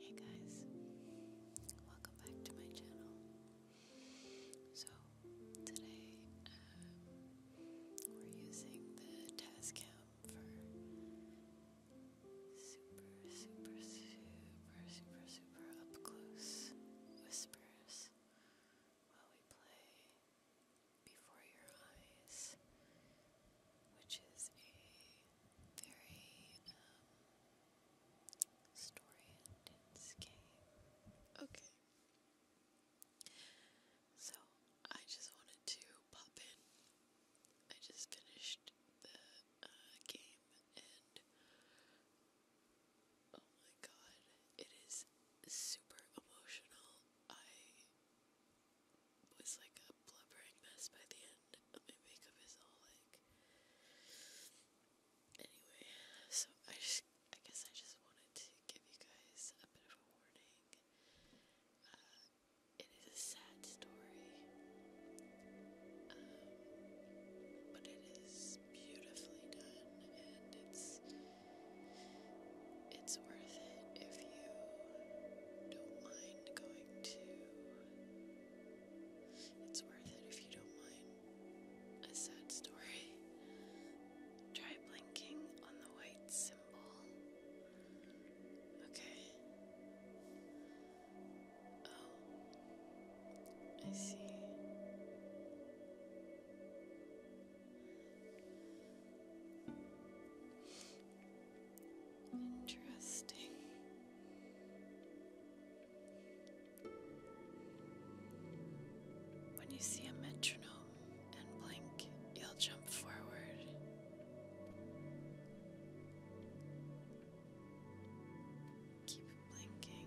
Hey guys, welcome back to my channel. So, today um, we're using the Tascam for super, super, super, super, super up close whispers while we play before your eyes, which is a very um, story intense game. Okay. So, I just wanted to pop in. I just finished the uh, game and oh my god, it is super emotional. I was like a blubbering mess by the end. My makeup is all like. Anyway, so I just, I guess I just wanted to give you guys a bit of a warning. Uh, it is a sad story, um, but it is beautifully done, and it's. It's worth it if you don't mind going to. It's worth it if you don't mind a sad story. Try blinking on the white symbol. Okay. Oh, I see. Interesting. When you see a metronome and blink, you'll jump forward. Keep blinking.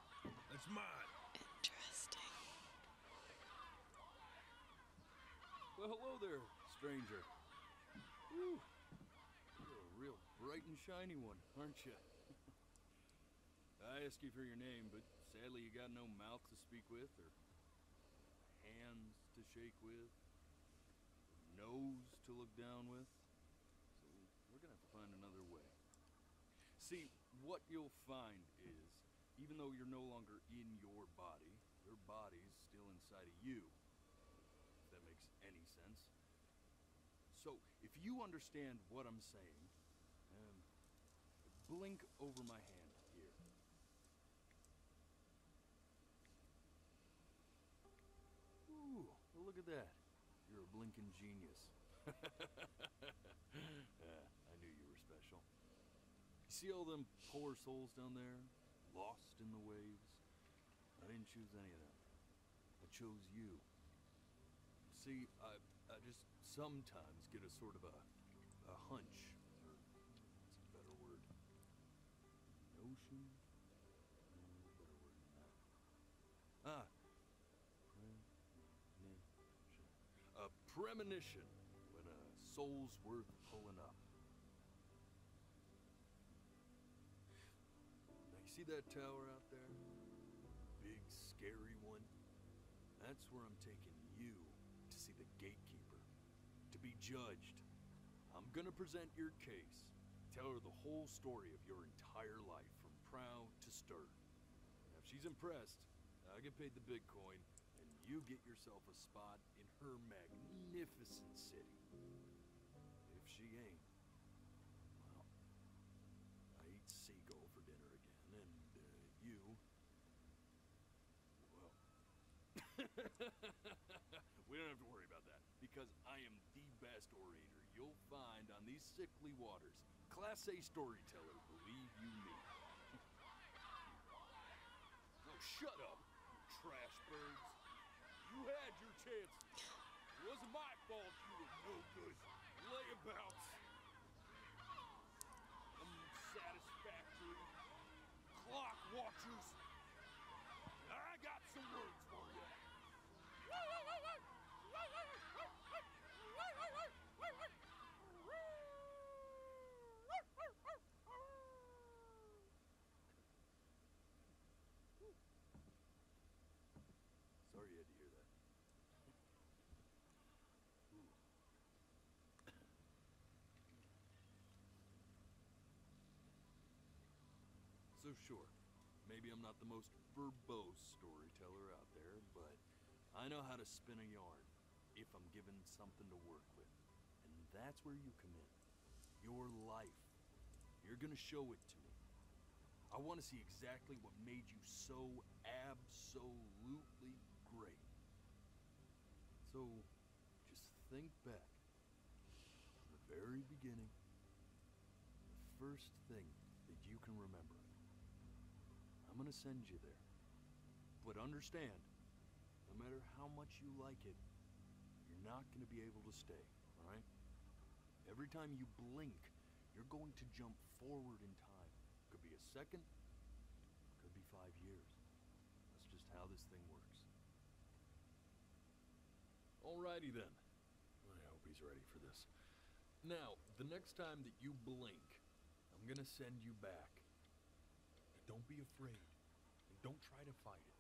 It's mine. Interesting. Well, hello there, stranger. You're a real bright and shiny one, aren't you? I asked you for your name, but sadly you got no mouth to speak with, or hands to shake with, nose to look down with. So we're gonna have to find another way. See, what you'll find is, even though you're no longer in your body, your body's still inside of you. that makes any sense. So, if you understand what I'm saying, um, blink over my hand here. Ooh, look at that. You're a blinking genius. I knew you were special. see all them poor souls down there, lost in the waves? I didn't choose any of them. I chose you. See, I, just sometimes get a sort of a, a hunch, or a better word, Ah, a premonition when a soul's worth pulling up. Now you see that tower out there? Big scary one? That's where I'm taking you to see the gatekeeper, to be judged. I'm gonna present your case. Tell her the whole story of your entire life, from proud to stern if she's impressed, I get paid the Bitcoin, and you get yourself a spot in her magnificent city. If she ain't, I eat seagull for dinner again, and uh, you, well, we don't have to worry about that, because I am the best orator you'll find on these six Waters, Class A storyteller, believe you me. Oh, shut up, trash birds. You had your chance. It was my fault you were no good. Layabouts. Unsatisfactory. Clock watchers. I got some words for you. Sorry you had to hear that. so sure, maybe I'm not the most verbose storyteller out there, but I know how to spin a yarn if I'm given something to work with. And that's where you come in. Your life. You're gonna show it to me. I want to see exactly what made you so absolutely great. So, just think back. From the very beginning, first thing that you can remember. I'm gonna send you there. But understand, no matter how much you like it, you're not gonna be able to stay, all right? Every time you blink, you're going to jump forward in time. Could be a second, could be five years. That's just how this thing works. All righty then. I hope he's ready for this. Now, the next time that you blink, I'm gonna send you back. And don't be afraid. And don't try to fight it.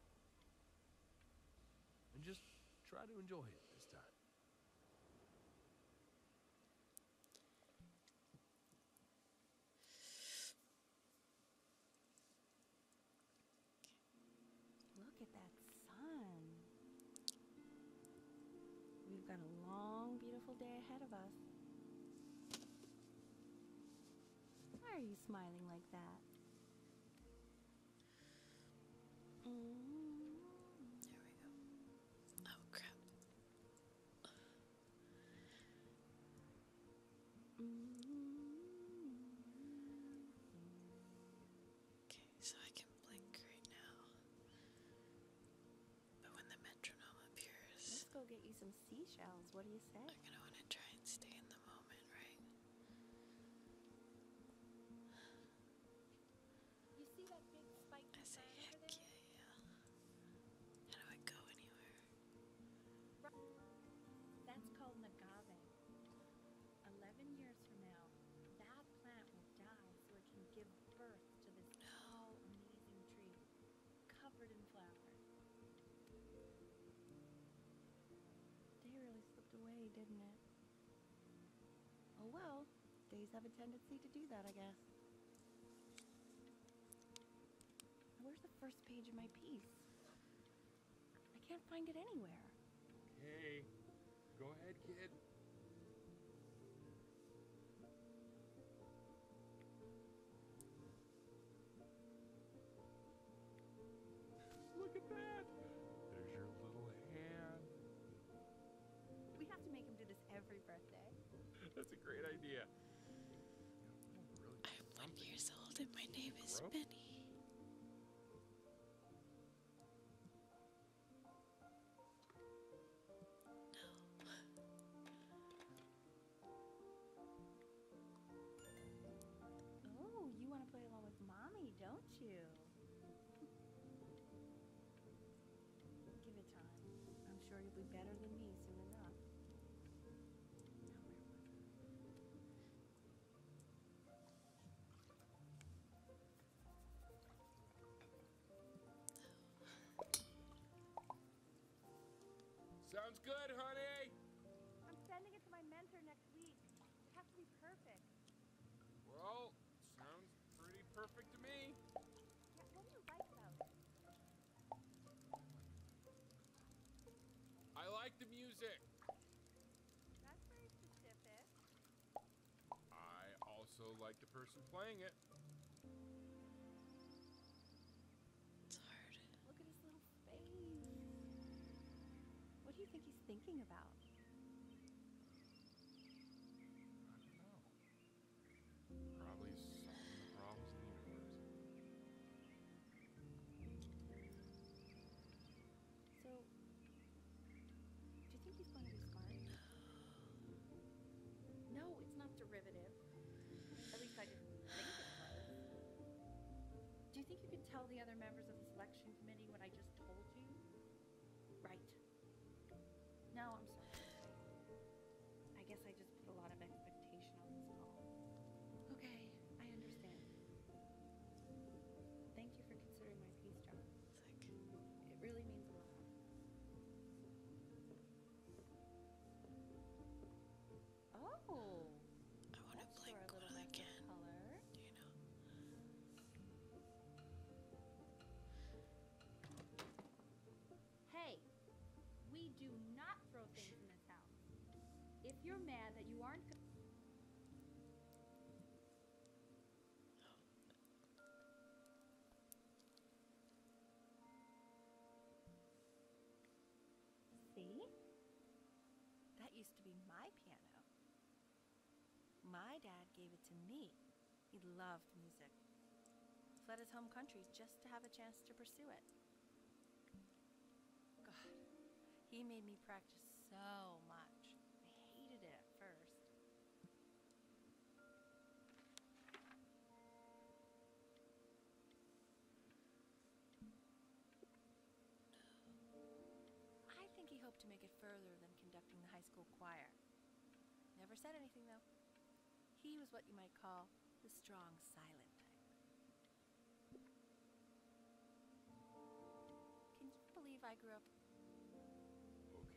And just try to enjoy it this time. Look at that sun. We've got a long, beautiful day ahead of us. Why are you smiling like that? There we go. Oh, crap. Okay, so I can blink right now let's go get you some seashells. What do you say? I'm gonna want to try and stay in the moment, right? I say, heck yeah, How do I go anywhere? That's called an Eleven years from now, that plant will die so it can give birth to this amazing tree covered in flowers. Day really slipped away, didn't it? Oh well, days have a tendency to do that, I guess. Where's the first page of my piece? I can't find it anywhere. Okay, go ahead, kid. Look at that! There's your little hand. We have to make him do this every birthday. That's a great idea. I'm one years old and my name is Benny oh, you want to play along with mommy, don't you? Give it time. I'm sure you'll be better than me soon enough. Sounds good, honey. I'm sending it to my mentor next week. It has to be perfect. Well, sounds pretty perfect to me. Yeah, what do you like about I like the music. That's very specific. I also like the person playing it. It's hard. Look at his little face. What do you think he's thinking about? I don't know. Probably solving the problems in the universe. So, do you think he's going to be smart? No, it's not derivative. At least I didn't think it was. Do you think you could tell the other members of the selection committee what I just told you? Right. No, I'm sorry. I guess I just put a lot of expectation on this call. Okay, I understand. Thank you for considering my piece, John it really means a lot. Oh! I want to play glue again. Hey! We do not throw things in this house. If you're mad that you aren't. See? That used to be my piano. My dad gave it to me. He loved music. Fled his home country just to have a chance to pursue it. God, he made me practice so much. I hated it at first. I think he hoped to make it further than conducting the high school choir. Never said anything, though. He was what you might call the strong, silent type. Can you believe I grew up?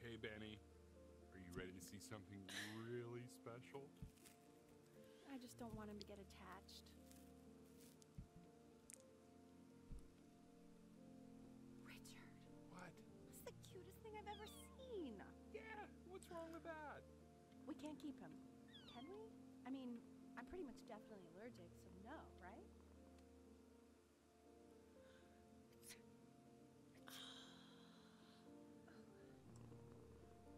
Okay, Benny. Are you ready to see something really special? I just don't want him to get attached. Richard. What? That's the cutest thing I've ever seen. Yeah, what's wrong with that? We can't keep him. Can we? I mean, I'm pretty much definitely allergic, so no, right?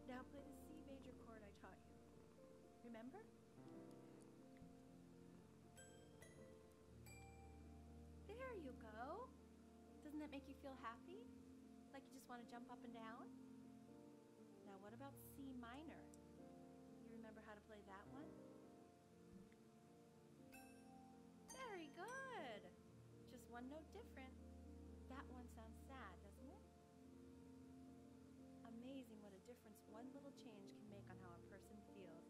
Now play the C major chord I taught you. Remember? There you go. Doesn't that make you feel happy? Like you just want to jump up and down? Now, what about C minor? You remember how to play that one? Very good. Just one note different. That one sounds sad, doesn't it? Amazing what a difference one little change can make on how a person feels.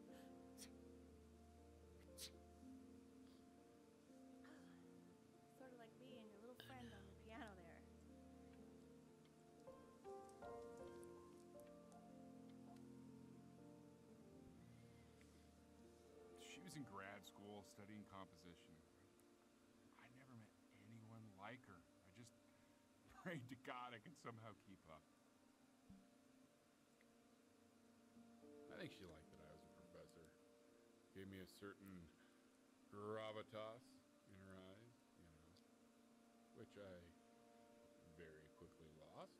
sort of like me and your little friend on the piano there. She was in grad school studying composition. I never met anyone like her. I just prayed to God I could somehow keep up. I think she liked that I was a professor. Gave me a certain gravitas in her eyes, which I very quickly lost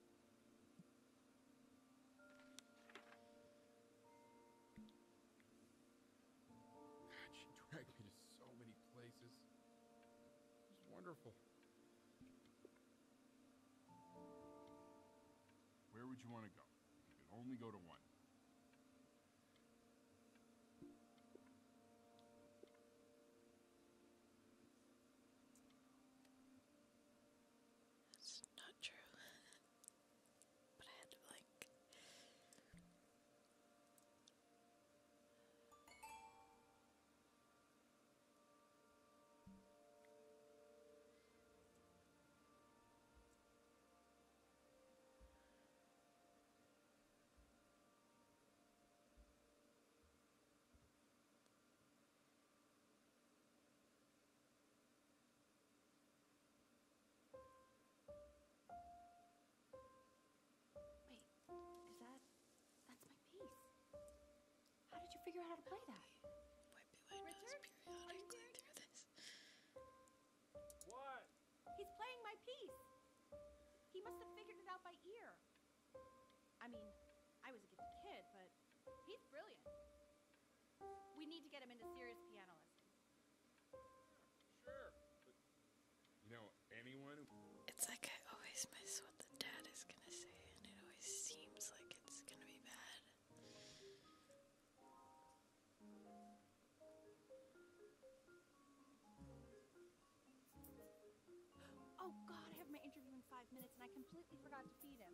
she dragged me to so many places. It wonderful. Where would you want to go? You can only go to one. That's not true. But I had to blink. Wait, is that... that's my piece. How did you figure out how to play that? Wipe away Richard, are you going through this? What? He's playing my piece. He must have figured it out by ear. I mean, I was a gifted kid, but he's brilliant. We need to get him into serious piano Sure. But you know, anyone. It's like I always miss what the dad is gonna say, and it always seems like it's gonna be bad. Oh god, I have my interview in five minutes and I completely forgot to feed him.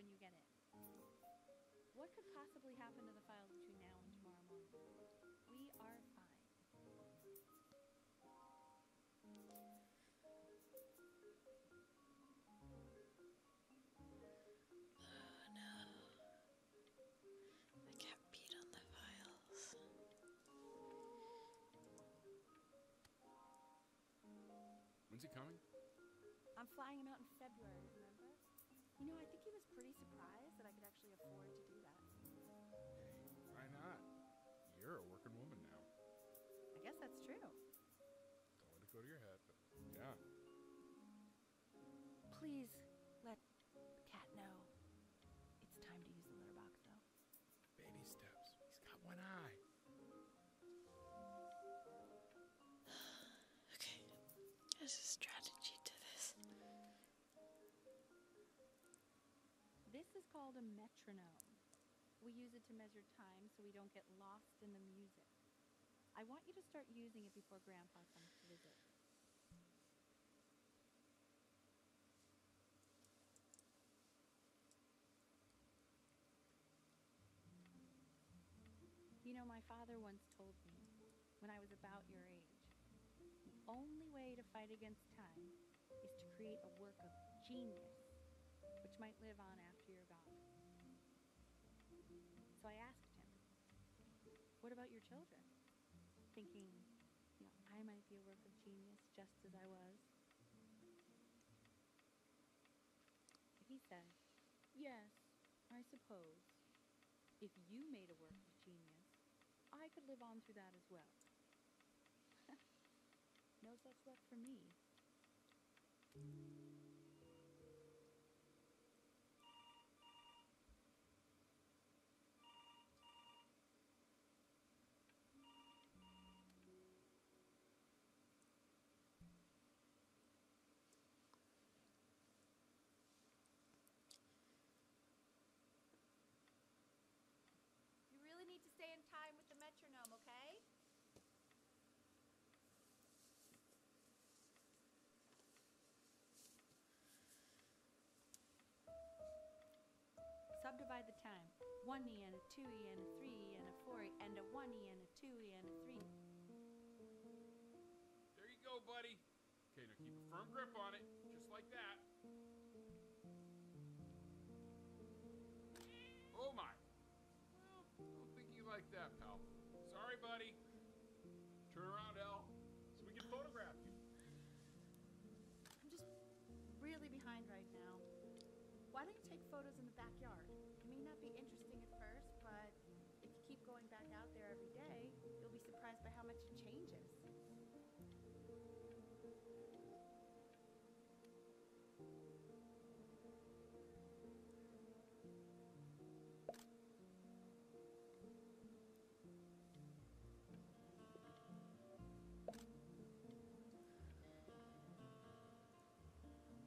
when you get it. What could possibly happen to the files between now and tomorrow morning? We are fine. no. I can't beat on the files. When's he coming? I'm flying him out in February, remember? You know, I think he was pretty surprised that I could actually afford to do that. why not? You're a working woman now. I guess that's true. Don't let it go to your head, but yeah. Please let cat know. It's time to use the litter box, though. Baby steps. He's got one eye. Okay, there's a strategy to this. This is called a metronome. We use it to measure time so we don't get lost in the music. I want you to start using it before Grandpa comes to visit. You know, my father once told me, when I was about your age, the only way to fight against time is to create a work of genius which might live on after you're gone. So I asked him, What about your children? Thinking, I might be a work of genius just as I was. He said, Yes, I suppose. If you made a work of genius, I could live on through that as well. no such luck for me. You really need to stay in time with the metronome, okay? Subdivide the time. One E and a two E and a three E and a four E and a one E and a two and three. There you go, buddy. Okay, now keep a firm grip on it, just like that. Oh my. don't think you like that, pal. Sorry, buddy. Turn around, Al, so we can photograph you. I'm just really behind right now. Why don't you take photos in the backyard? It may not be interesting at first, but if you keep going back out there every day, you'll be surprised by how much it changes.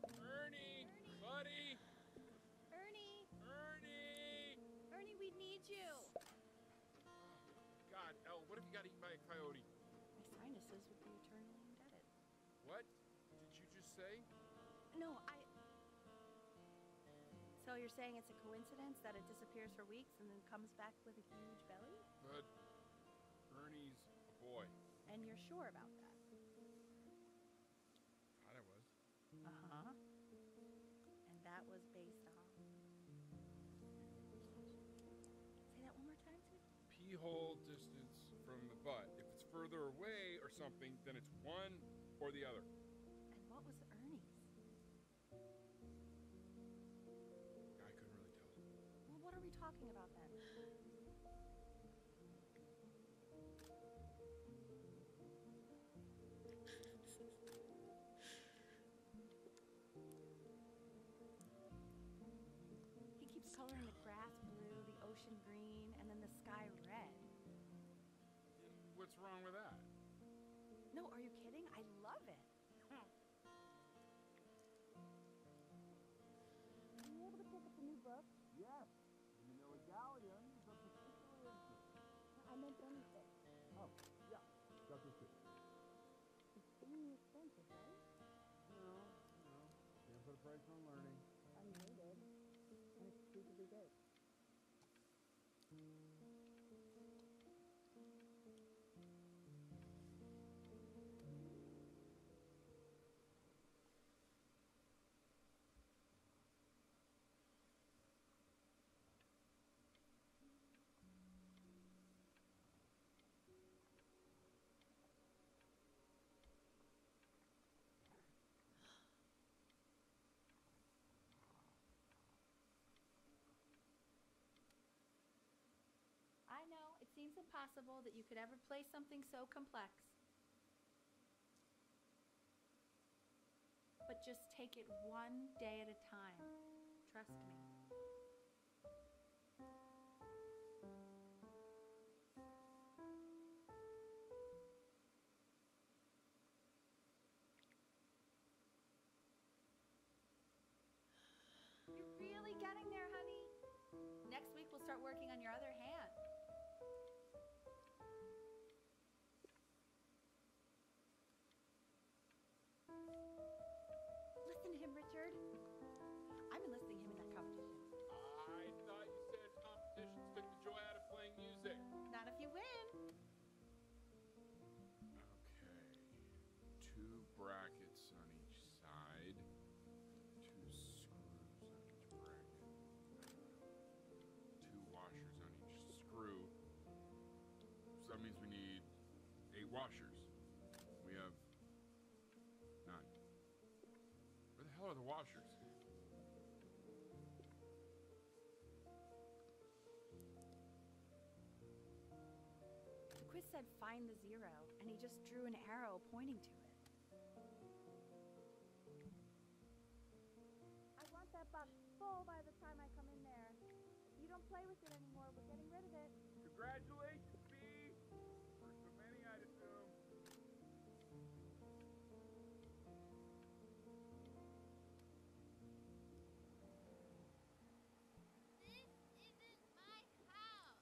Ernie, buddy. Ernie. Ernie. Ernie, we need you. God, El, what if you got eaten by a coyote? My sinuses would be eternally indebted. What did you just say? No, I... So you're saying it's a coincidence that it disappears for weeks and then comes back with a huge belly? But Ernie and you're sure about that? Thought I was. Uh huh. And that was based on. Say that one more time to Pee hole distance from the butt. If it's further away or something, then it's one or the other. And what was Ernie's? I couldn't really tell. Well, what are we talking about then? He keeps coloring the grass blue, the ocean green, and then the sky red. What's wrong with that? No, are you kidding? I love it. you able to pick up the new book? Yes. The Manila Galleons of particular interest. I meant anything. Oh, yeah. That's what's good. It's getting expensive, right? No, no. Can't put a price on learning. Unlimited. And it's stupidly good. I know, it seems impossible that you could ever play something so complex. But just take it one day at a time. Trust me. You're really getting there, honey. Next week, we'll start working on your other hand. Listen to him, Richard. I'm enlisting him in that competition. I thought you said competitions took the joy out of playing music. Not if you win. Okay. Two brackets on each side two screws two washers on each screw. that means we need eight washers. We have nine. Where the hell are the washers? The said find the zero, and he just drew an arrow pointing to it. I want that box full by the time I come in there. you don't play with it anymore, we're getting rid of it. Congratulations, Bee! First of many, I'd assume. This isn't my house!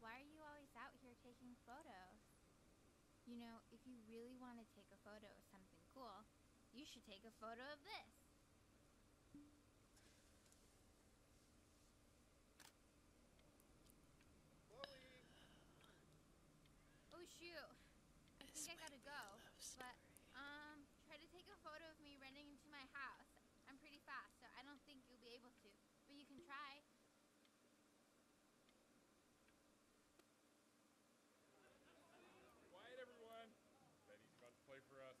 Why are you always out here taking photos? You know, if you really want to take a photo of something cool, you should take a photo of this. Oh shoot. I think I gotta go. But um try to take a photo of me running into my house. I'm pretty fast, so I don't think you'll be able to, but you can try. Quiet, everyone. Betty's about to play for us.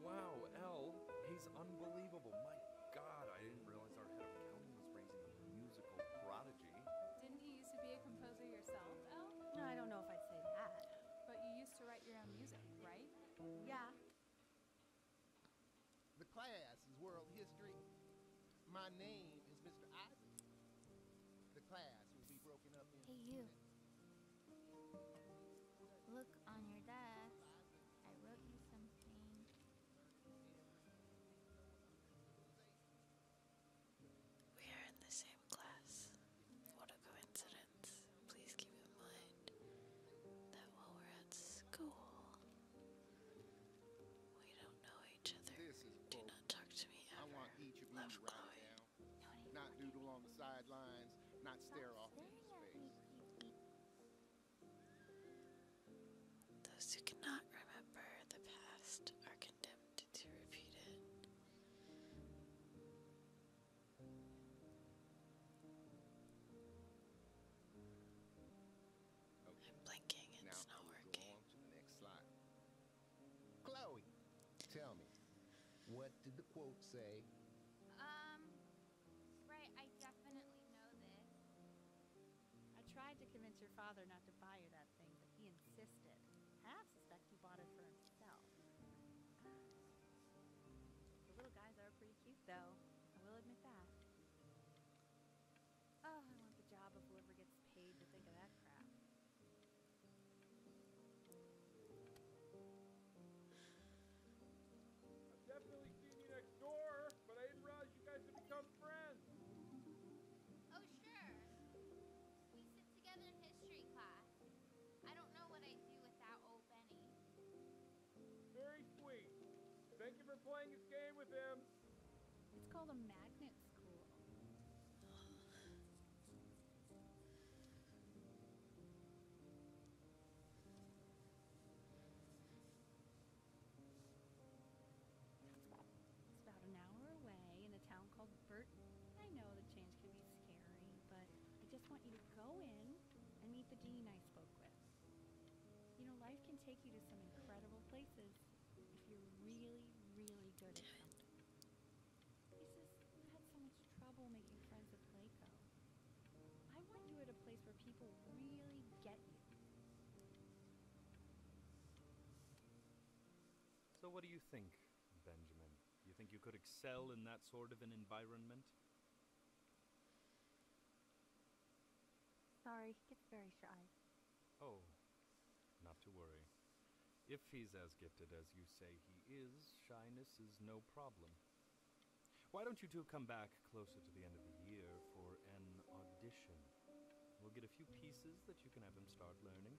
Wow, L, he's unbelievable. My God, I didn't realize our head of accounting was raising a musical prodigy. Didn't you used to be a composer yourself, L? No, I don't know if I'd say that. But you used to write your own music, right? Yeah. The class is world history. My name is Mr. Isaac. The class will be broken up in. Hey, you. Look on your desk. I wrote you something. We are in the same class. What a coincidence. Please keep in mind that while we're at school, we don't know each other. Do not talk to me ever. I Love right Chloe. Not doodle on the sidelines not stare Those who cannot remember the past are condemned to repeat it. I'm blinking and it's not working. Chloe, tell me, what did the quote say? Um, Right, I definitely know this. I tried to convince your father not to buy you that thing, but he insisted. Half suspect he bought it for himself. The little guys are pretty cute, though. I will admit that. Oh, I want the job of whoever gets paid to think of that crap. I've definitely seen you next door, but I didn't realize you guys had become friends. Oh, sure. We sit together in history class. I don't know what I'd do without old Benny. Very sweet. Thank you for playing this game with him. It's called a magnet school. It's about an hour away in a town called Burton. I know the change can be scary, but I just want you to go in and meet the dean I spoke with. You know, life can take you to some incredible places if you're really, really good at something. He's just had some much friends at Playco. I want you at a place where people really get you. So what do you think, Benjamin? You think you could excel in that sort of an environment? Sorry, he gets very shy. Oh, not to worry. If he's as gifted as you say he is, shyness is no problem. Why don't you two come back closer to the end of the year for an audition? We'll get a few pieces that you can have him start learning.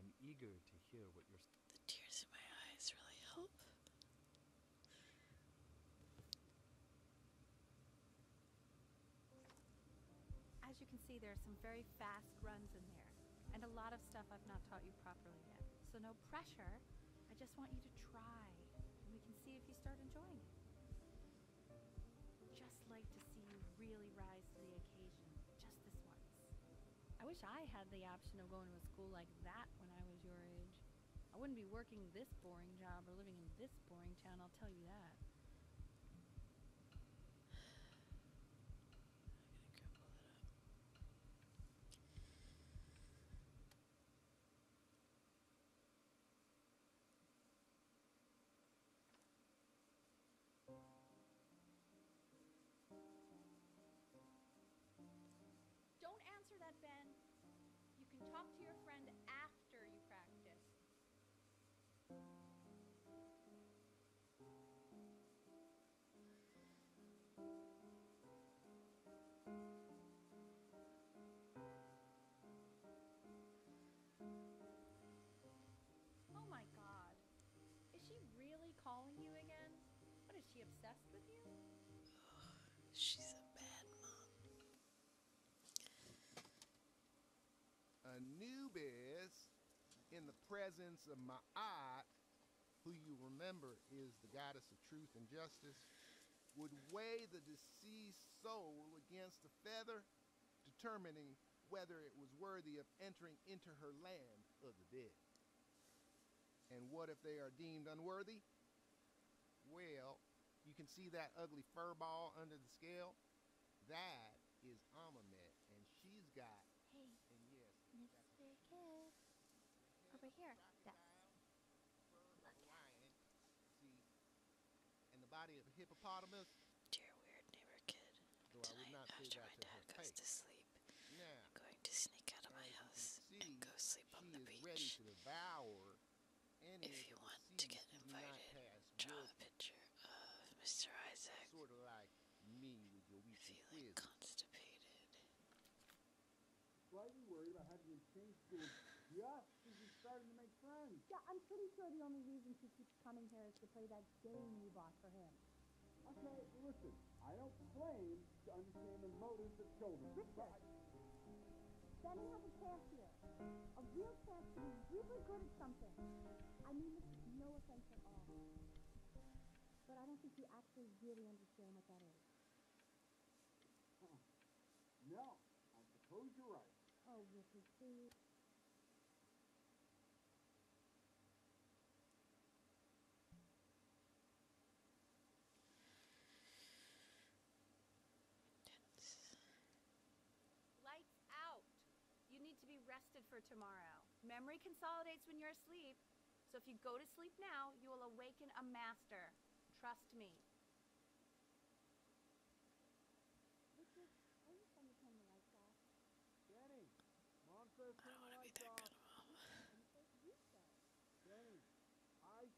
I'm eager to hear what you're. The tears in my eyes really help. As you can see, there are some very fast runs in there, and a lot of stuff I've not taught you properly yet, so no pressure. I just want you to try, and we can see if you start enjoying it. Just like to see you really rise to the occasion, just this once. I wish I had the option of going to a school like that when I was your age. I wouldn't be working this boring job or living in this boring town, I'll tell you that. Don't answer that, Ben. You can talk to your friend after you practice. Oh my god. Is she really calling you again? What is she obsessed with you? She's a bad mom. Anubis, in the presence of my aunt, who you remember is the goddess of truth and justice, would weigh the deceased soul against a feather, determining whether it was worthy of entering into her land of the dead. And what if they are deemed unworthy? Well, you can see that ugly fur ball under the scale? That is Amamet, and she's got. Hey. And yes. Over here and the body of a hippopotamus. Dear weird neighbor kid, tonight after my dad goes to sleep, I'm going to sneak out of my house and go sleep on the beach. If you want to get invited, draw a picture of Mr. Isaac feeling constipated slightly worried about having to change schools just as you started to make friends. Yeah, I'm pretty sure the only reason she keeps coming here is to play that game you bought for him. Okay, listen, I don't claim to understand the motives of children. Richard, I... Benny has a chance here. A real chance to be really good at something. I mean this is no offense at all. But I don't think you actually really understand what that is. No, I suppose you're right. Oh, Lights out. You need to be rested for tomorrow. Memory consolidates when you're asleep, so if you go to sleep now, you will awaken a master. Trust me. I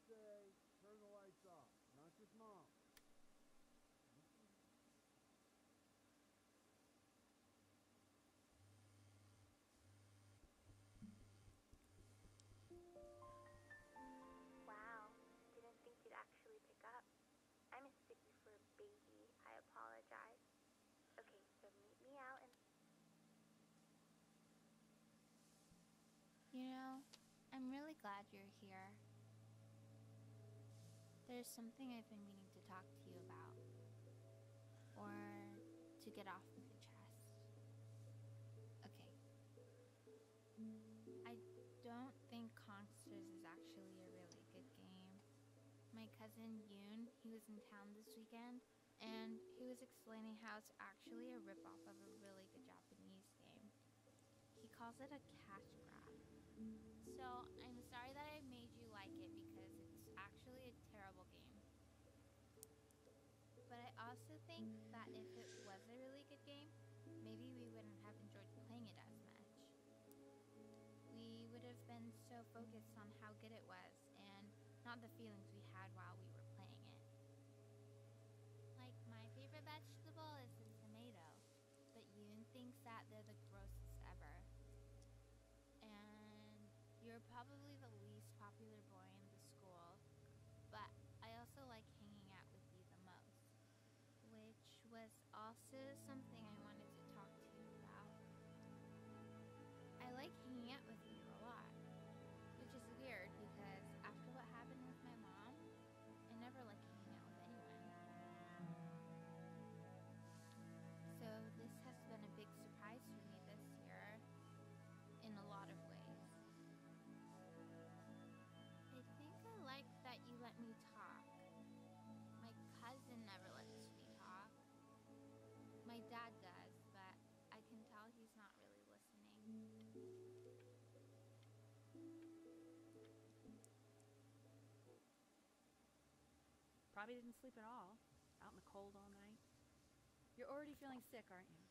do be that mom. Wow, didn't think you'd actually pick up. I mistook you for a baby. I apologize. Okay, so meet me out and... You know, I'm really glad you're here. There's something I've been meaning to talk to you about. Or to get off off the chest. Okay. I don't think Consters is actually a really good game. My cousin Yoon, he was in town this weekend, and he was explaining how it's actually a ripoff of a really good Japanese game. He calls it a cash grab. So I'm sorry that I made you like it because it's actually a terrible game. But I also think that if it was a really good game, maybe we wouldn't have enjoyed playing it as much. We would have been so focused on how good it was and not the feelings we had while we were playing it. Like, my favorite vegetable is the tomato, but Yoon thinks that they're the grossest ever. And you're probably the least popular boy in the school, but I also like hanging out with you the most, which was also something I wanted to talk to you about. I like hanging out with you a lot, which is weird because after what happened with my mom, I never like hanging out with anyone. So this has been a big surprise for me this year in a lot of ways. I think I like that you let me talk. My cousin never lets me talk. My dad does, but I can tell he's not really listening. Probably didn't sleep at all. Out in the cold all night. You're already feeling sick, aren't you?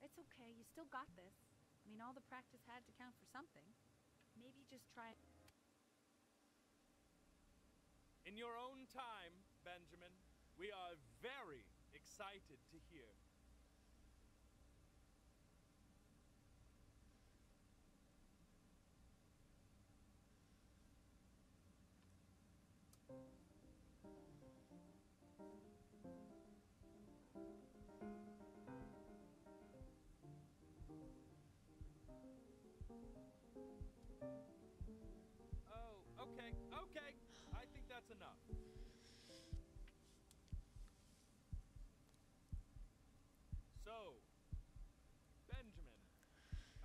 It's okay, you still got this. I mean, all the practice had to count for something. Maybe just try... In your own time, Benjamin, we are very excited to hear. Oh, okay, okay. I think that's enough. So, Benjamin,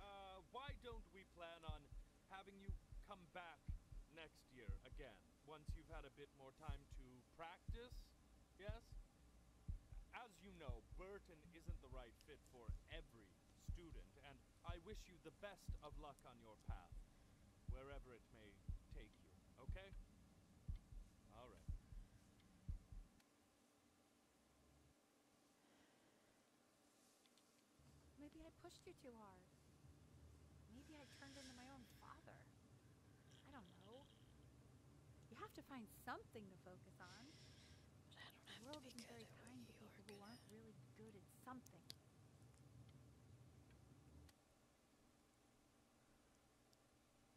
uh, why don't we plan on having you come back next year again, once you've had a bit more time to practice, yes? As you know, Burton isn't the right fit for every student, and I wish you the best of luck on your path, wherever it may take you, okay? All right. Maybe I pushed you too hard. Maybe I turned into my own father. I don't know. You have to find something to focus on. the world isn't very kind to people who aren't really good at something.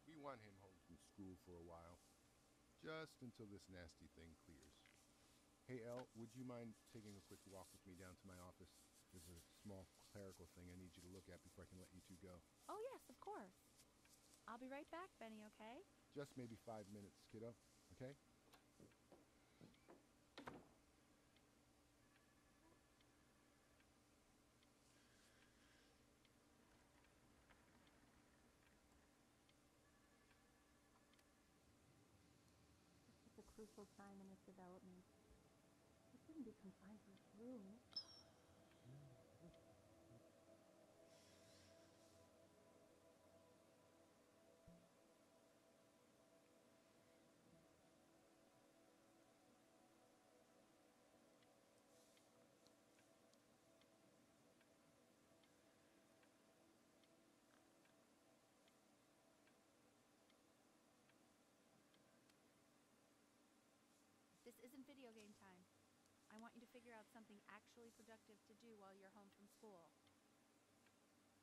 We want him home from school for a while. Just until this nasty thing clears. Hey, El, would you mind taking a quick walk with me down to my office? There's a small clerical thing I need you to look at before I can let you two go. Oh, yes, of course. I'll be right back, Benny, okay? Just maybe five minutes, kiddo, okay? This is a crucial time in its development. It wouldn't be confined to its room. This isn't video game time. I want you to figure out something actually productive to do while you're home from school. Like what?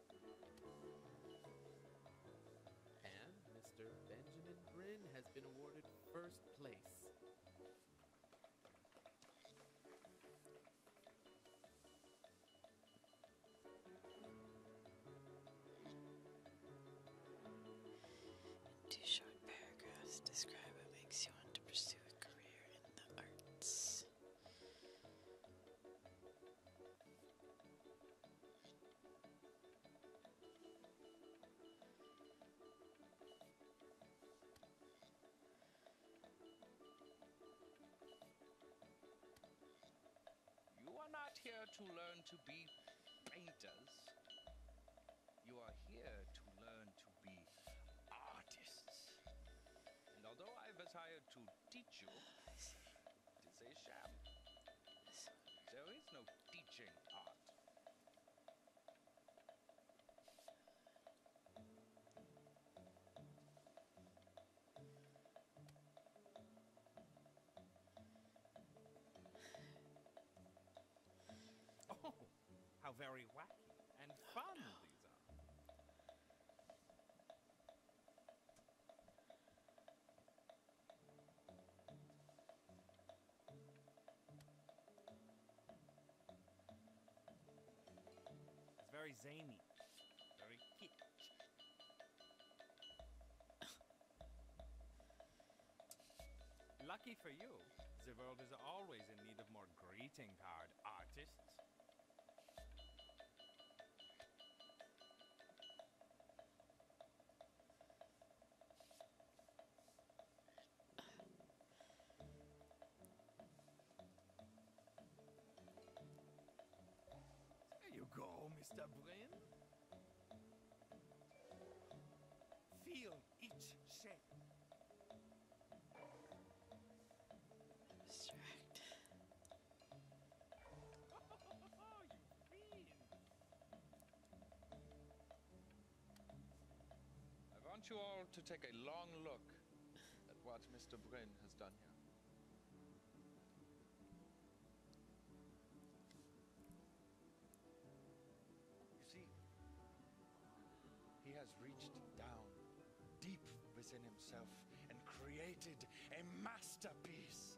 And Mr. Benjamin Brin has been awarded first place. Two short paragraphs describe what makes you want to pursue a career in the arts. You are not here to learn to be painters. You are here to learn to be artists. And although I've to teach you, it's a sham. There is no teaching art. Oh, how very wacky and fun these are. It's very zany, very Lucky for you, the world is always in need of more greeting card artists. There you go, Mr. Brin. Feel each shape. Distract. I want you all to take a long look at what Mr. Bryn has done here. You see, he has reached down deep within himself and created a masterpiece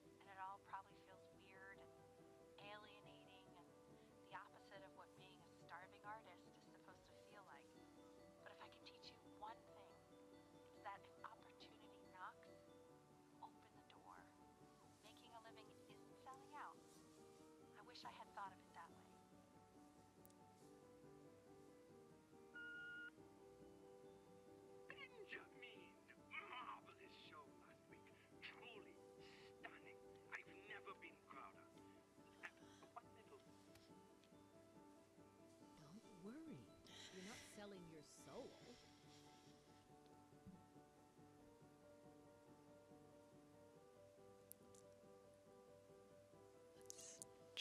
and it all probably feels weird and alienating and the opposite of what being a starving artist is supposed to feel like. But if I can teach you one thing, it's that if opportunity knocks, open the door. Making a living isn't selling out. I wish I had thought of it that way. Benjamin! Marvelous ah, show, Truly stunning. I've never been prouder. Don't worry. You're not selling your soul. Let's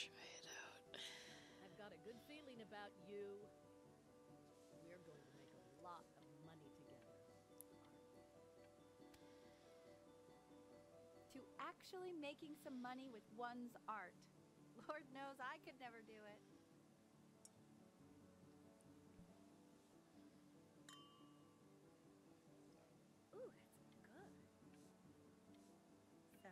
try it out. I've got a good feeling about you to To actually making some money with one's art. Lord knows I could never do it. Ooh, that's good. So,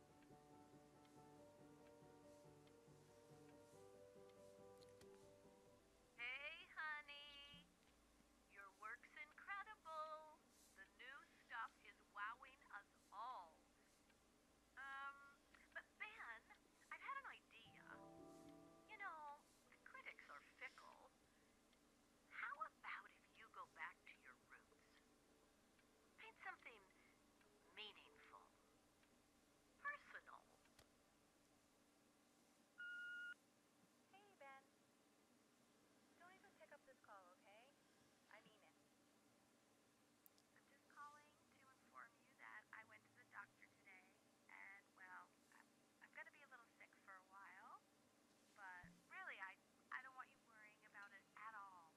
Hey, honey. Your work's incredible. The new stuff is wowing us all. Um, but Ben, I've had an idea. You know, the critics are fickle. How about if you go back to your roots? Paint something meaningful. Personal. Hey, Ben. Don't even pick up this call, okay? I mean it. I'm just calling to inform you that I went to the doctor today, and, well, I'm, I'm gonna be a little sick for a while, but really, I, I don't want you worrying about it at all.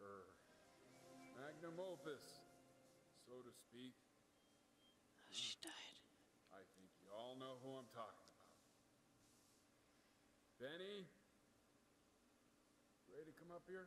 er, magnum opus, so to speak. Stein. Hmm. I think you all know who I'm talking about. Benny, ready to come up here?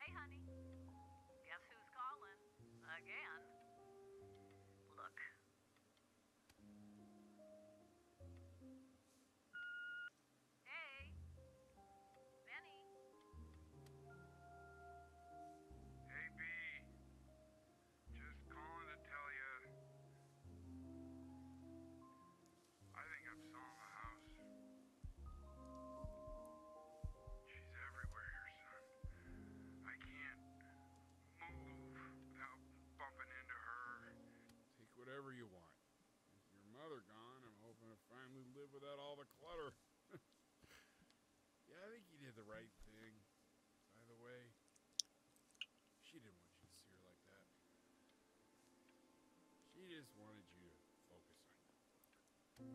Hey, honey. Guess who's calling? Again. Look. Hey. Benny. Hey, B. Just calling to tell you I think I'm selling the house. She's everywhere, son. I can't move without bumping into her. Take whatever you want. With your mother gone, I'm hoping to finally live without all the clutter. yeah, I think you did the right thing. By the way, she didn't want you to see her like that. She just wanted you to focus on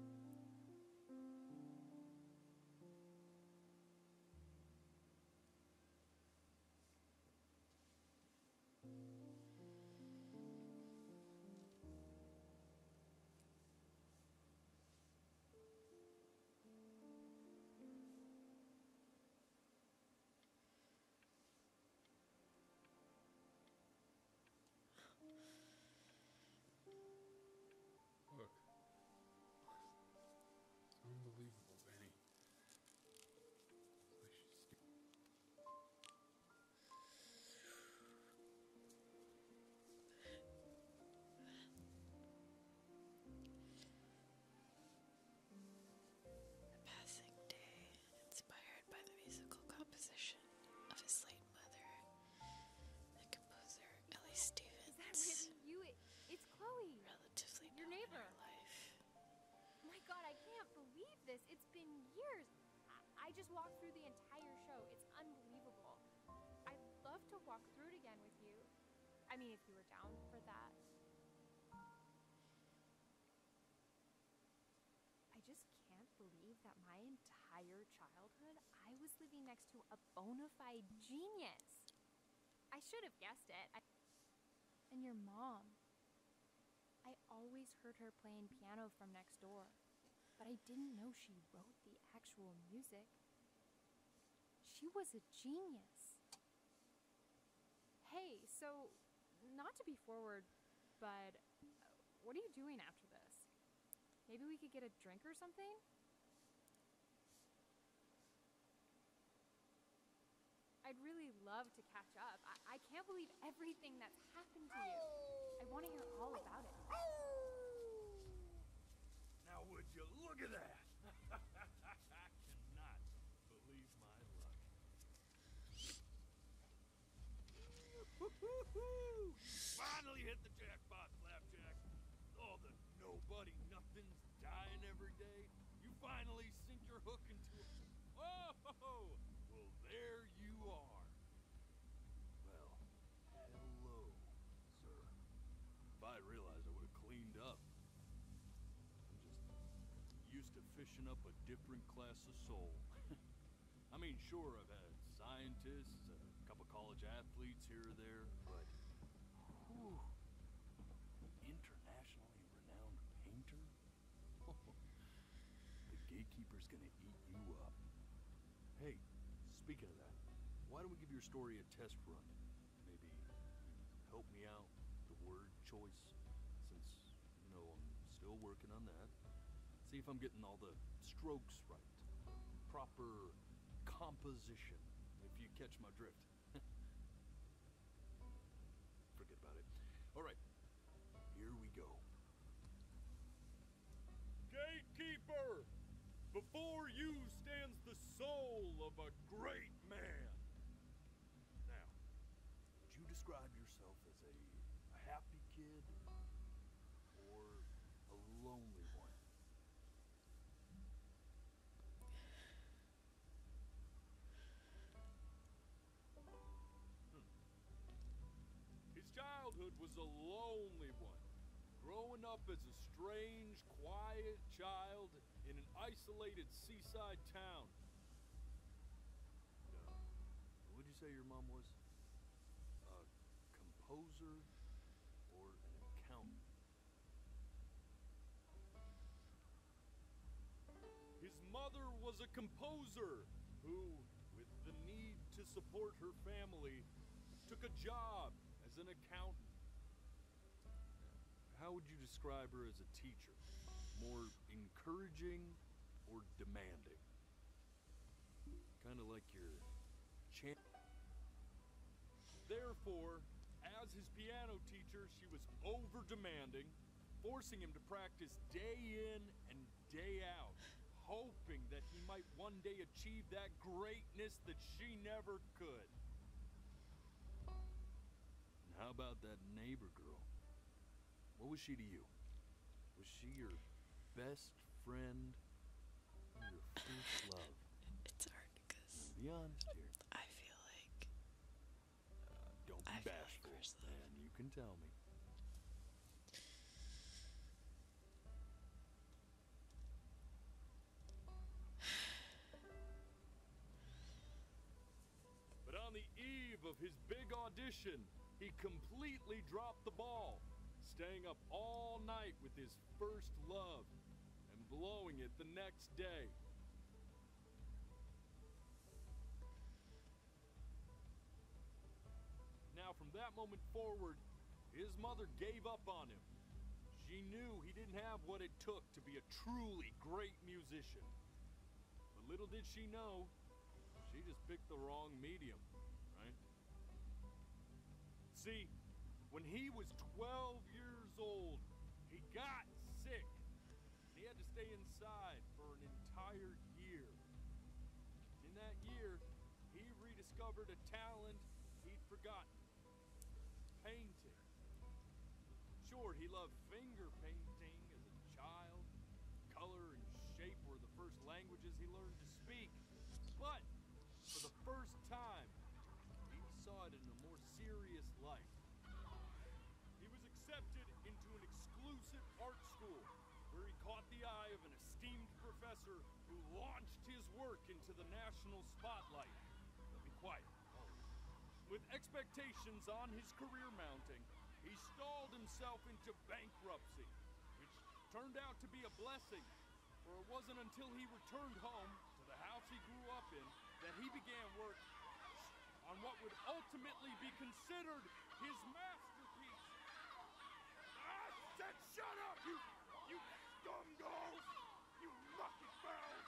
Look. unbelievable, Benny. The passing day. Inspired by the musical composition of his late mother, the composer Ellie Stevens. it's Chloe. Relatively your neighbor. life. My God, I can't believe this. It's been years. I just walked through the entire show. It's unbelievable. I'd love to walk through it again with you. I mean, if you were down for that. I just can't believe that my entire childhood I was living next to a bona genius. I should have guessed it. and your mom. I always heard her playing piano from next door, but I didn't know she wrote the actual music. She was a genius. Hey, so, not to be forward, but what are you doing after this? Maybe we could get a drink or something? I'd really love to catch up. I, can't believe everything that's happened to you. I want to hear all about it. Now would you look at that! I cannot believe my luck. Finally hit the jackpot, Flapjack. All the nobody nothings dying every day. You finally sink your hook into a... well, there you are. Well, hello, sir. If I realized I would have cleaned up. I'm just used to fishing up a different class of soul. I mean, sure, I've had scientists, a couple college athletes here or there, but internationally renowned painter? the gatekeeper's gonna eat you up. Hey, speaking of that, why don't we give your story a test run? Maybe help me out, the word choice, since you I'm still working on that. See if I'm getting all the strokes right. Proper composition, if you catch my drift. Forget about it. All right, here we go. Gatekeeper! Before you stands the soul of a great man! Now, would you describe yourself a, a happy kid or a lonely one? Hmm. His childhood was a lonely one. Growing up as a strange, quiet child in an isolated seaside town. No. Would you say your mom was a composer or an accountant? His mother was a composer who, with the need to support her family, took a job as an accountant. How would you describe her as a teacher? More encouraging or demanding? Kind of like your champ. Therefore, as his piano teacher, she was over demanding, forcing him to practice day in and day out, hoping that he might one day achieve that greatness that she never could. And how about that neighbor girl? What was she to you? Was she your best friend? Your first love? It's hard because I feel like uh, I bashful, like and you can tell me. But on the eve of his big audition. He completely dropped the ball, staying up all night with his first love and blowing it the next day. Now, from that moment forward, his mother gave up on him. She knew he didn't have what it took to be a truly great musician. But little did she know, she just picked the wrong medium, right? See, when he was 12 years old, he got sick. He had to stay inside for an entire year. In that year, he rediscovered a talent he'd forgotten. Painting. Sure, he loved finger painting child. Color and shape were the first languages he learned to speak. But for the first time, he saw it in a more serious light. He was accepted into an exclusive art school where he caught the eye of an esteemed professor who launched his work into the national spotlight. Be quiet. With expectations on his career mounting, he stalled himself into bankruptcy, which turned out to be a blessing, for it wasn't until he returned home to the house he grew up in that he began work on what would ultimately be considered his masterpiece. I ah, shut up, you, you scumgulls! You lucky bells!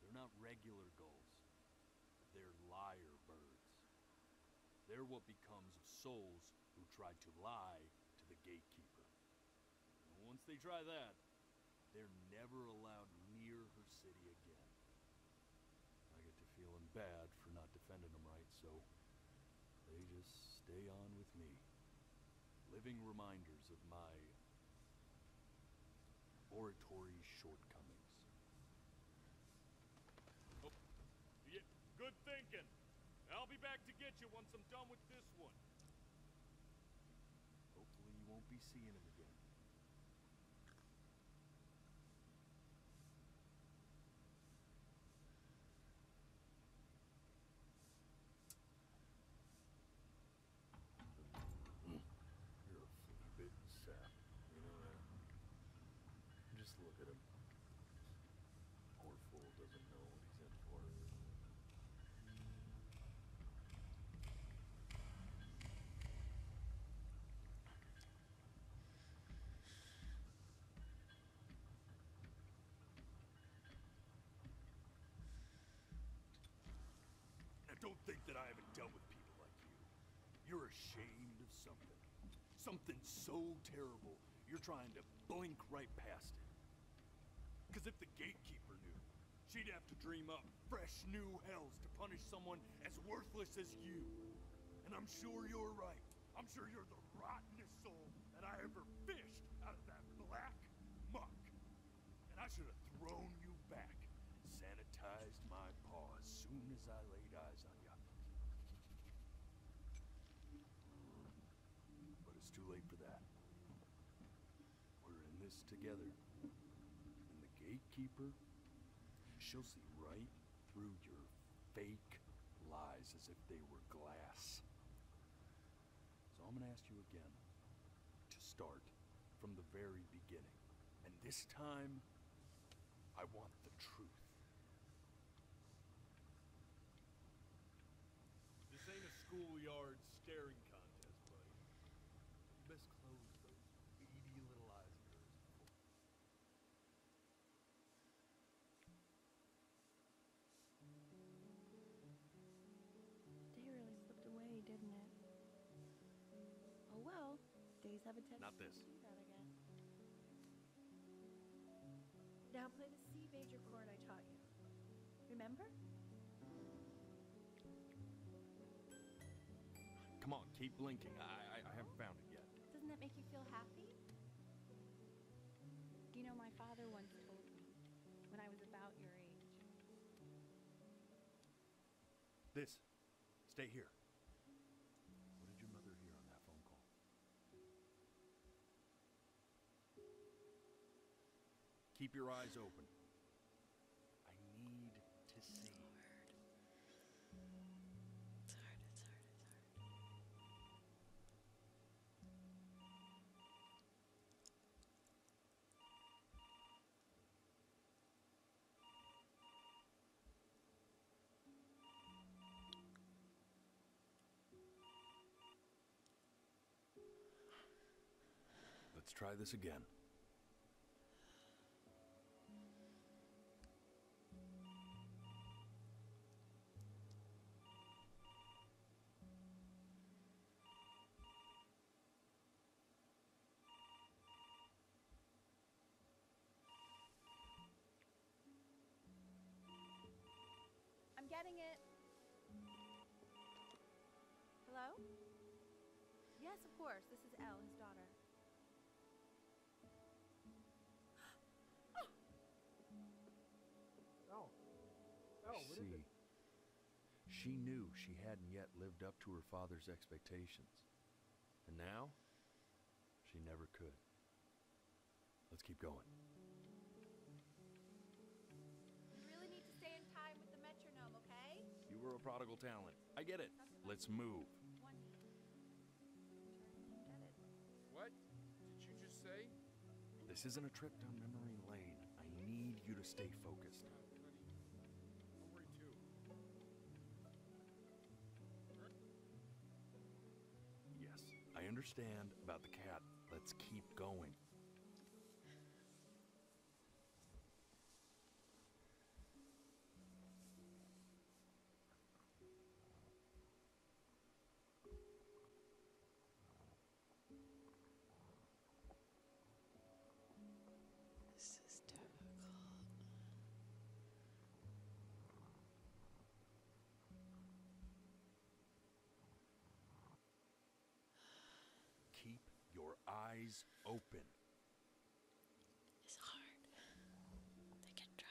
They're not regular gulls. They're liar birds. They're what becomes of souls who try to lie to the gatekeeper. once they try that, they're never allowed near her city again. I get to feeling bad for not defending them right, so they just stay on with me. Living reminders of my oratory shortcomings. Oh, yeah, good thinking. I'll be back to get you once I'm done with this one. Hopefully you won't be seeing him again. Mm. You're a flea-bitten sap. You know that? Just look at him. Poor fool doesn't know what he's in for. Now don't think that I haven't dealt with people like you. You're ashamed of something. Something so terrible, you're trying to blink right past it. Because if the gatekeeper knew, she'd have to dream up fresh new hells to punish someone as worthless as you. And I'm sure you're right. I'm sure you're the rottenest soul that I ever fished out of that black muck. And I should have thrown you back and sanitized my paw as soon as I laid eyes on you. But it's too late for that. We're in this together. And the gatekeeper, she'll see right through your fake lies as if they were glass. So I'm gonna ask you again to start from the very beginning. And this time, I want the truth. This ain't a schoolyard staring contest, buddy. best close those beady little eyes Day really slipped away, didn't it? Oh well, days have a tendency to do that again. Now play the C major chord I taught you. Remember? Come on, keep blinking. I, I, haven't found it yet. Doesn't that make you feel happy? You know, my father once told me, when I was about your age, this. Stay here. What did your mother hear on that phone call? Keep your eyes open. I need to see. Let's try this again. I'm getting it. Hello? Yes, of course. This is Elle, his daughter. oh. See. She knew she hadn't yet lived up to her father's expectations. And now, she never could. Let's keep going. You really need to stay in time with the metronome, okay? You were a prodigal talent. I get it. Let's move. What did you just say? This isn't a trip down memory lane. I need you to stay focused. Yes, I understand about the cat. Let's keep going. Keep your eyes open. It's hard. They can try.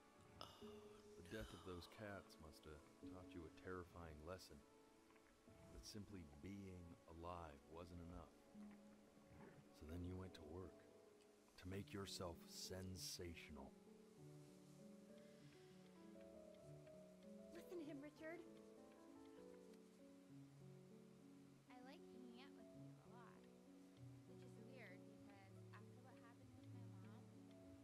the death of those cats must have taught you a terrifying lesson. That simply being alive wasn't enough. So then you went to work to make yourself sensational. Listen to him, Richard. I like hanging out with him a lot, which is weird because after what happened with my mom,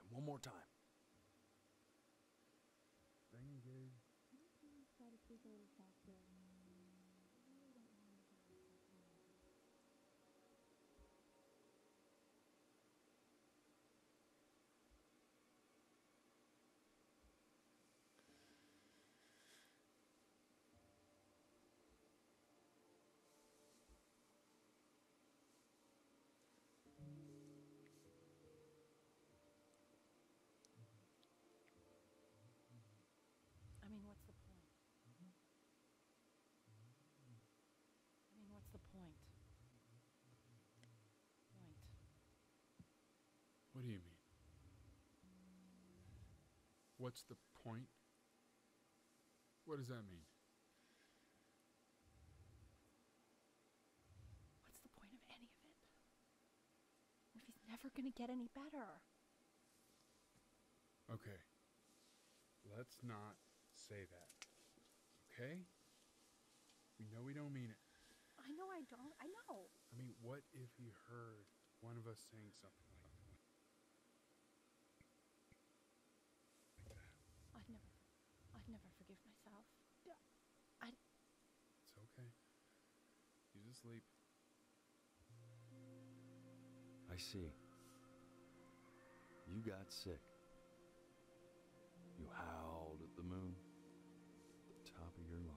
And one more time. I mean, what's the point? I mean, what's the point? Point. What do you mean? What's the point? What does that mean? What's the point of any of it? if he's never gonna get any better? Okay. Let's not say that. Okay? We know we don't mean it. I know I don't. I know. I mean, what if he heard one of us saying something like I'd never, I'd never forgive myself. I. It's okay. You just sleep. I see. You got sick. You howled at the moon, the top of your lungs.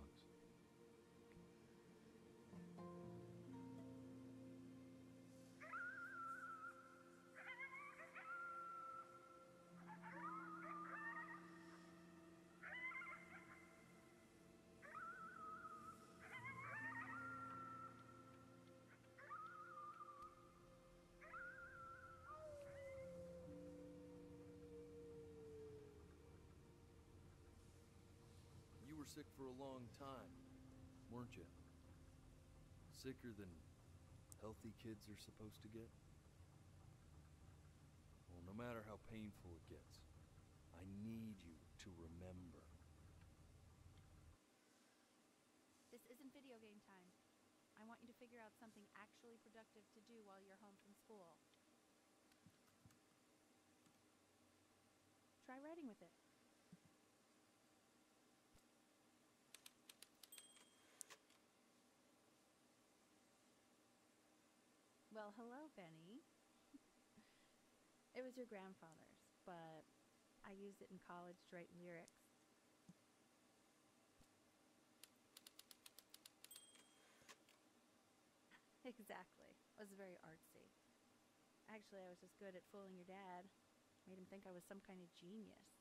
You were sick for a long time, weren't you? Sicker than healthy kids are supposed to get? Well, no matter how painful it gets, I need you to remember. This isn't video game time. I want you to figure out something actually productive to do while you're home from school. Try writing with it. Well, hello, Benny. it was your grandfather's, but I used it in college to write lyrics. exactly. It was very artsy. Actually, I was just good at fooling your dad. Made him think I was some kind of genius.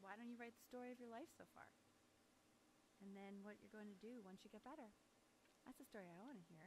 Why don't you write the story of your life so far? And then what you're going to do once you get better. That's a story I want to hear.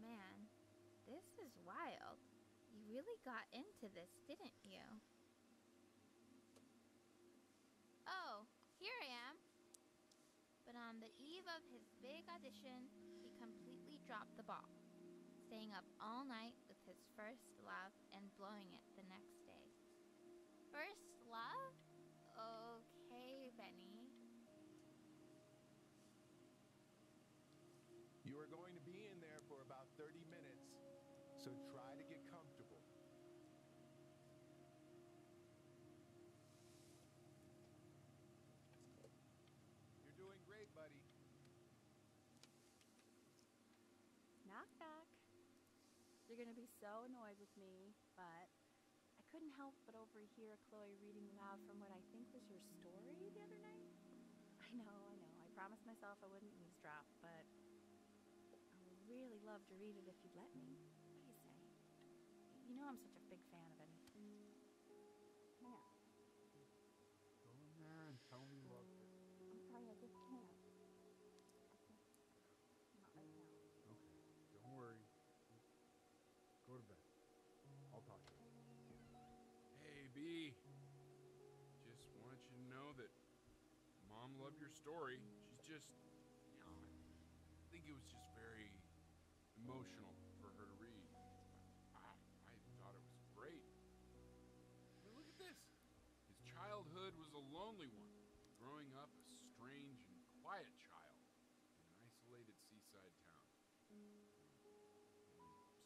Man, this is wild. You really got into this, didn't you? Oh, here I am. But on the eve of his big audition, he completely dropped the ball. Staying up all night his first love and blowing it the next day. First love? Okay, Benny. You are going to be in there for about 30 minutes, so try to get comfortable. You're doing great, buddy. Knock, knock. You're gonna be so annoyed with me, but I couldn't help but overhear Chloe reading loud from what I think was your story the other night. I know, I know. I promised myself I wouldn't eavesdrop, but I would really love to read it if you'd let me. What do you say? You know I'm such a big fan of anything. Now, mm-hmm. I'm sorry, I just can't. not right now. Okay. Don't worry. Go to bed. I'll talk you. Hey, B. Just want you to know that Mom loved your story. She's just, I think it was just very emotional for her to read. I, thought it was great. look at this. His childhood was a lonely one, growing up a strange and quiet child in an isolated seaside town. Hmm.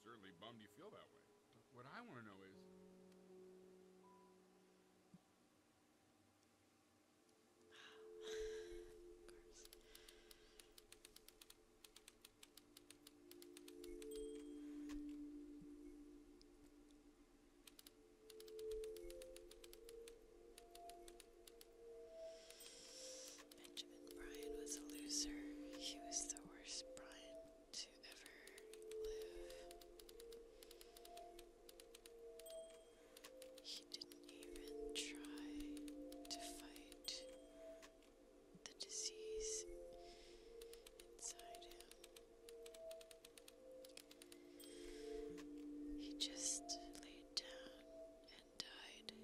certainly bummed you feel that way. what I want to know is, Benjamin Bryan was a loser. He was the worst Bryan to ever live. He didn't even try to fight the disease inside him. He just laid down and died.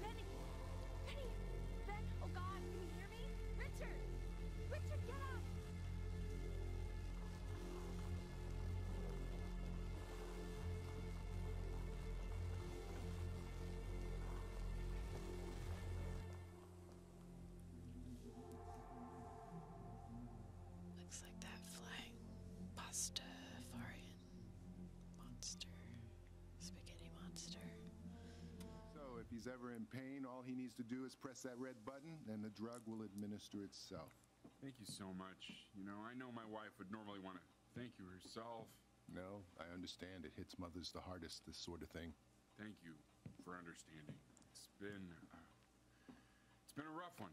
Benny! Benny! Ben! Oh God, can you hear me? Richard! Richard, get up! Looks like that flying pasta foreign monster. Spaghetti monster. So, if he's ever in pain, all he needs to do is press that red button, and the drug will administer itself. Thank you so much. You know, I know my wife would normally want to thank you herself. No, I understand. It hits mothers the hardest, this sort of thing. Thank you for understanding. It's been. Uh, it's been a rough one.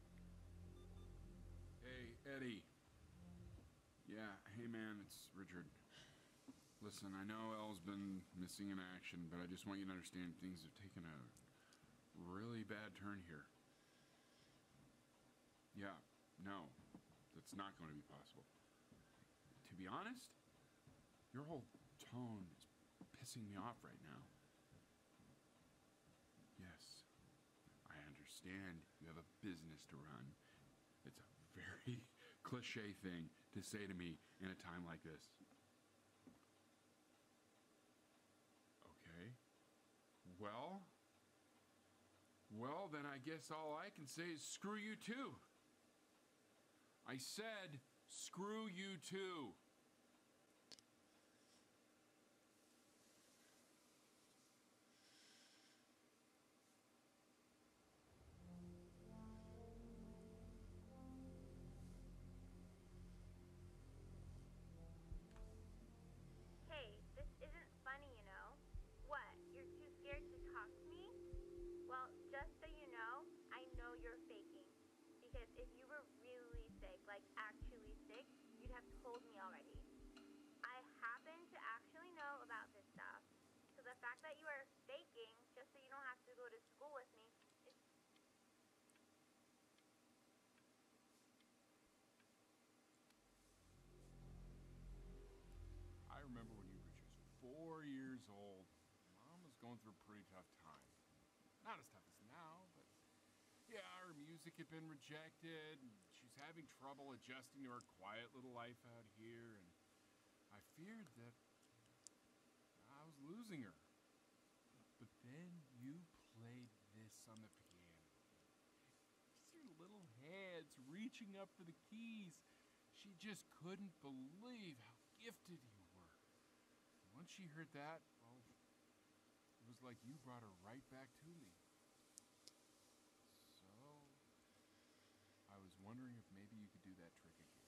Hey, Eddie. Yeah, hey man, it's Richard. Listen, I know Elle's been missing in action, but I just want you to understand things have taken a really bad turn here. Yeah, no, that's not going to be possible. To be honest, your whole tone is pissing me off right now. Yes, I understand you have a business to run. It's a very cliche thing to say to me in a time like this. Okay. Well, well, then I guess all I can say is screw you too. I said, screw you too. Hey, this isn't funny, you know. What, you're too scared to talk to me? Well, just so you know, I know you're faking. Because if you were really sick, like like actually sick, you'd have told me already. I happen to actually know about this stuff, so the fact that you are faking just so you don't have to go to school with me is I remember when you were just four years old, Mom was going through a pretty tough time. Not as tough as now, but yeah, her music had been rejected, she's having trouble adjusting to her quiet little life out here, and I feared that I was losing her. But then you played this on the piano. Just little hands reaching up for the keys. She just couldn't believe how gifted you were. once she heard that, well, oh, it was like you brought her right back to me. So, I was wondering if maybe you could do that trick again.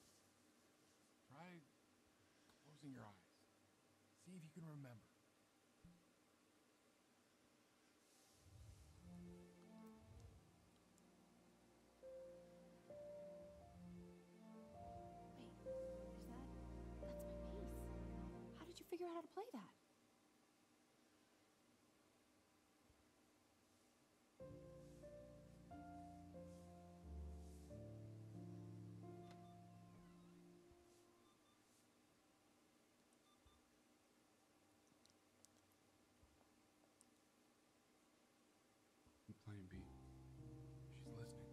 Try closing your eyes. See if you can remember. That's my piece. How did you figure out how to play that? Playing B. She's listening.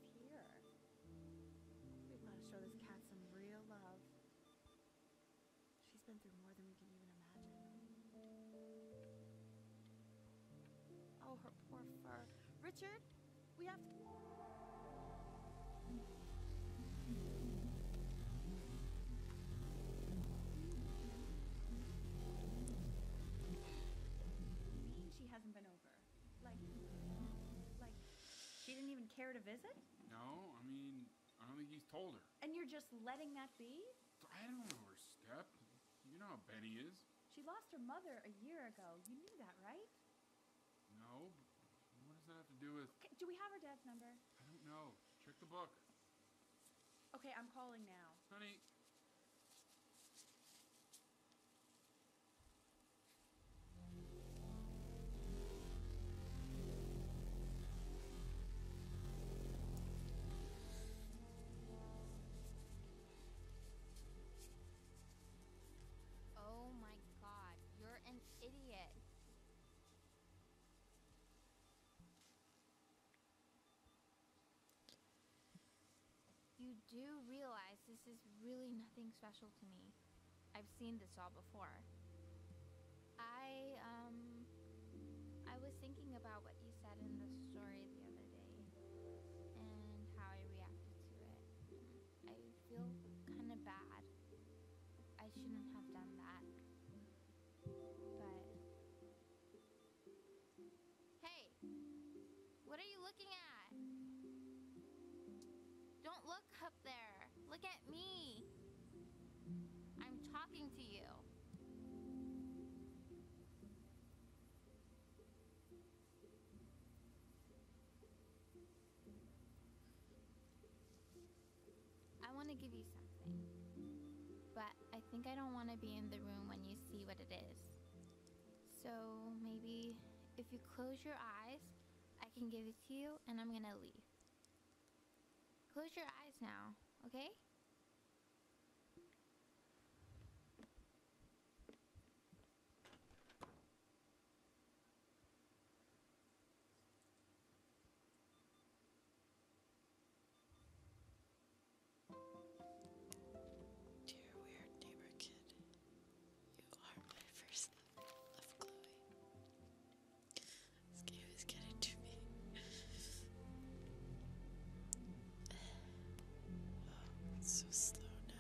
We've got to show this cat some real love. She's been through more than we can even imagine. Oh, her poor fur. Richard, we have to. mean she hasn't been over? Like, like she didn't even care to visit? No, I mean, I don't think he's told her. And you're just letting that be? I don't overstep. You know how Benny is. She lost her mother a year ago. You knew that, right? No. What does that have to do with... Okay, do we have her dad's number? I don't know. Check the book. Okay, I'm calling now. Honey, Oh my god, you're an idiot. You do realize this is really nothing special to me. I've seen this all before. I, um. I was thinking about what you said in the story the other day and how I reacted to it. I feel kinda bad. I shouldn't have done that. But Hey, what are you looking at? Don't look up there. Look at me. I'm talking to you. I want to give you something, but I think I don't want to be in the room when you see what it is. So maybe if you close your eyes, I can give it to you and I'm gonna leave. Close your eyes now, okay? Dear weird neighbor kid, you are my first love. Love This game is getting to me. Oh, it's so slow now.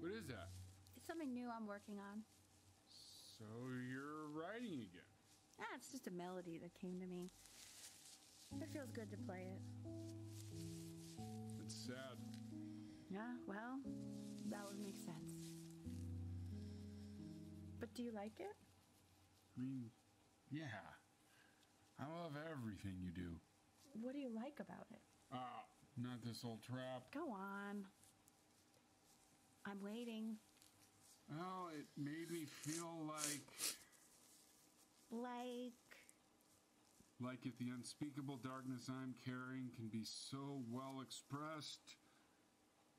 What is that? It's something new I'm working on. So you're writing again? Yeah, it's just a melody that came to me. It feels good to play it. It's sad. Yeah, well, that would make sense. But do you like it? I mean, yeah. I love everything you do. What do you like about it? Ah, not this old trap. Go on. I'm waiting. Well, it made me feel like. Like. Like if the unspeakable darkness I'm carrying can be so well expressed,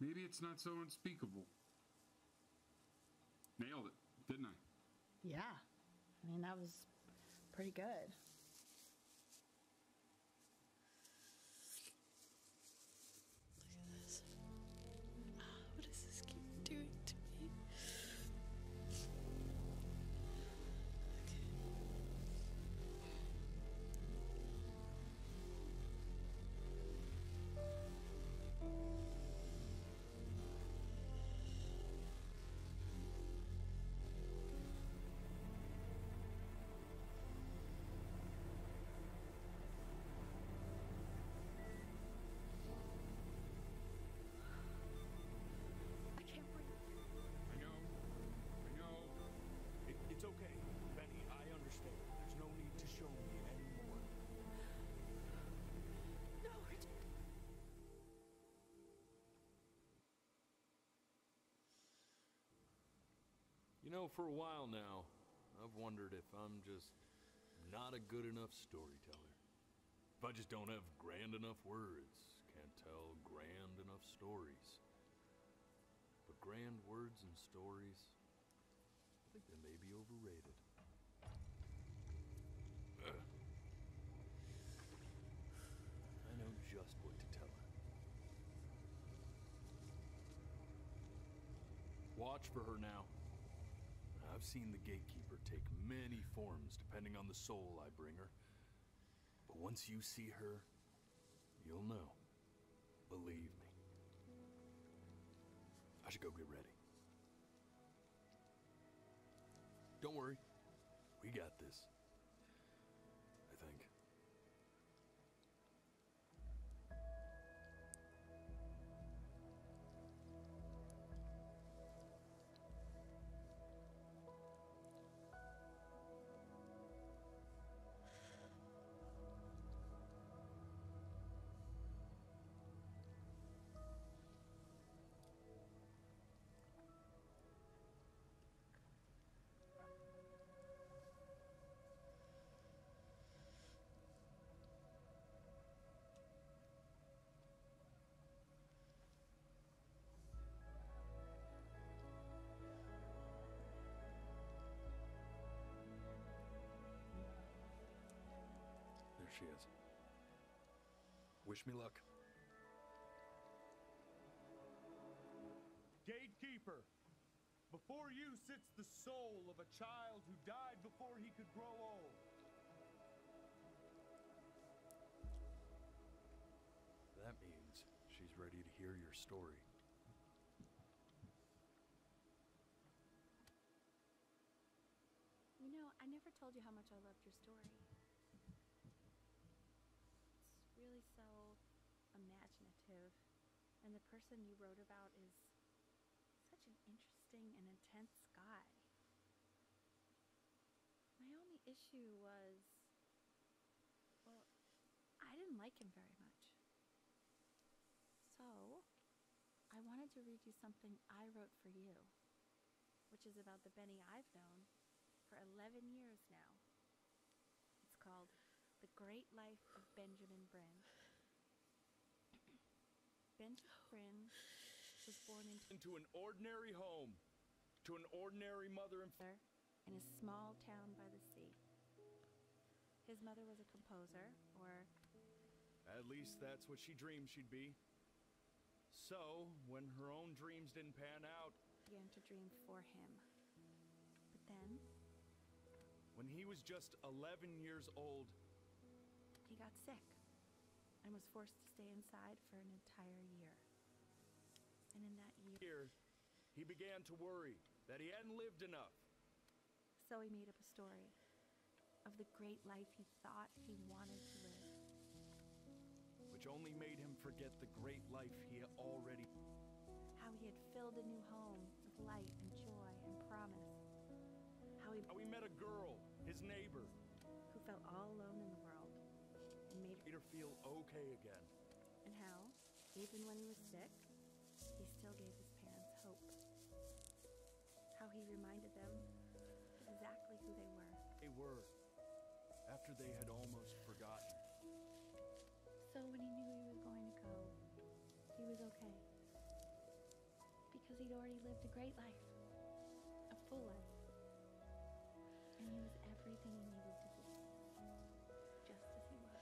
maybe it's not so unspeakable. Nailed it, didn't I? Yeah. I mean, that was pretty good. Look at this. Oh, what does this keep doing to me? I I I can't breathe. know. know. It's okay, Benny. I understand. There's no need to show me anymore. No, you know, for a while now, I've wondered if I'm just not a good enough storyteller. If I just don't have grand enough words, can't tell grand enough stories. But grand words and stories, I think they may be overrated. I know just what to tell her. Watch for her now. I've seen the Gatekeeper take many forms depending on the soul I bring her. But once you see her, you'll know. Believe me. I should go get ready. Don't worry. We got this. I think she is. Wish me luck. Gatekeeper, before you sits the soul of a child who died before he could grow old. That means she's ready to hear your story. You know, I never told you how much I loved your story. It's really so imaginative, and the person you wrote about is such an interesting and intense guy. My only issue was, well, I didn't like him very much. So, I wanted to read you something I wrote for you which is about the Benny I've known for 11 years now. It's called The Great Life of Benjamin Bryn. Benjamin Bryn was born into an ordinary home, to an ordinary mother and father in a small town by the sea. His mother was a composer, or... At least that's what she dreamed she'd be. So, when her own dreams didn't pan out, she began to dream for him. But then, when he was just 11 years old, he got sick and was forced to stay inside for an entire year. And in that year, he began to worry that he hadn't lived enough. So he made up a story of the great life he thought he wanted to live. Which only made him forget the great life he had already. How he had filled a new home with light and joy and promise. How he, how he met a girl, his neighbor, who felt all alone in the world and made, made her feel okay again. And how, even when he was sick, he still gave his parents hope how he reminded them exactly who they were. They were, after they had almost forgotten. So when he knew he was going to go, he was okay. Because he'd already lived a great life, a full life. And he was everything he needed to be, just as he was.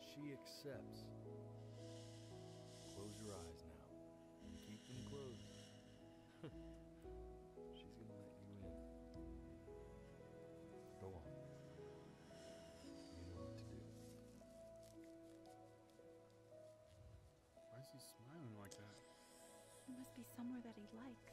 She accepts. Close your eyes now and keep them closed. She's gonna let you in. Go on. You know what to do. Why is he smiling like that? It must be somewhere that he likes.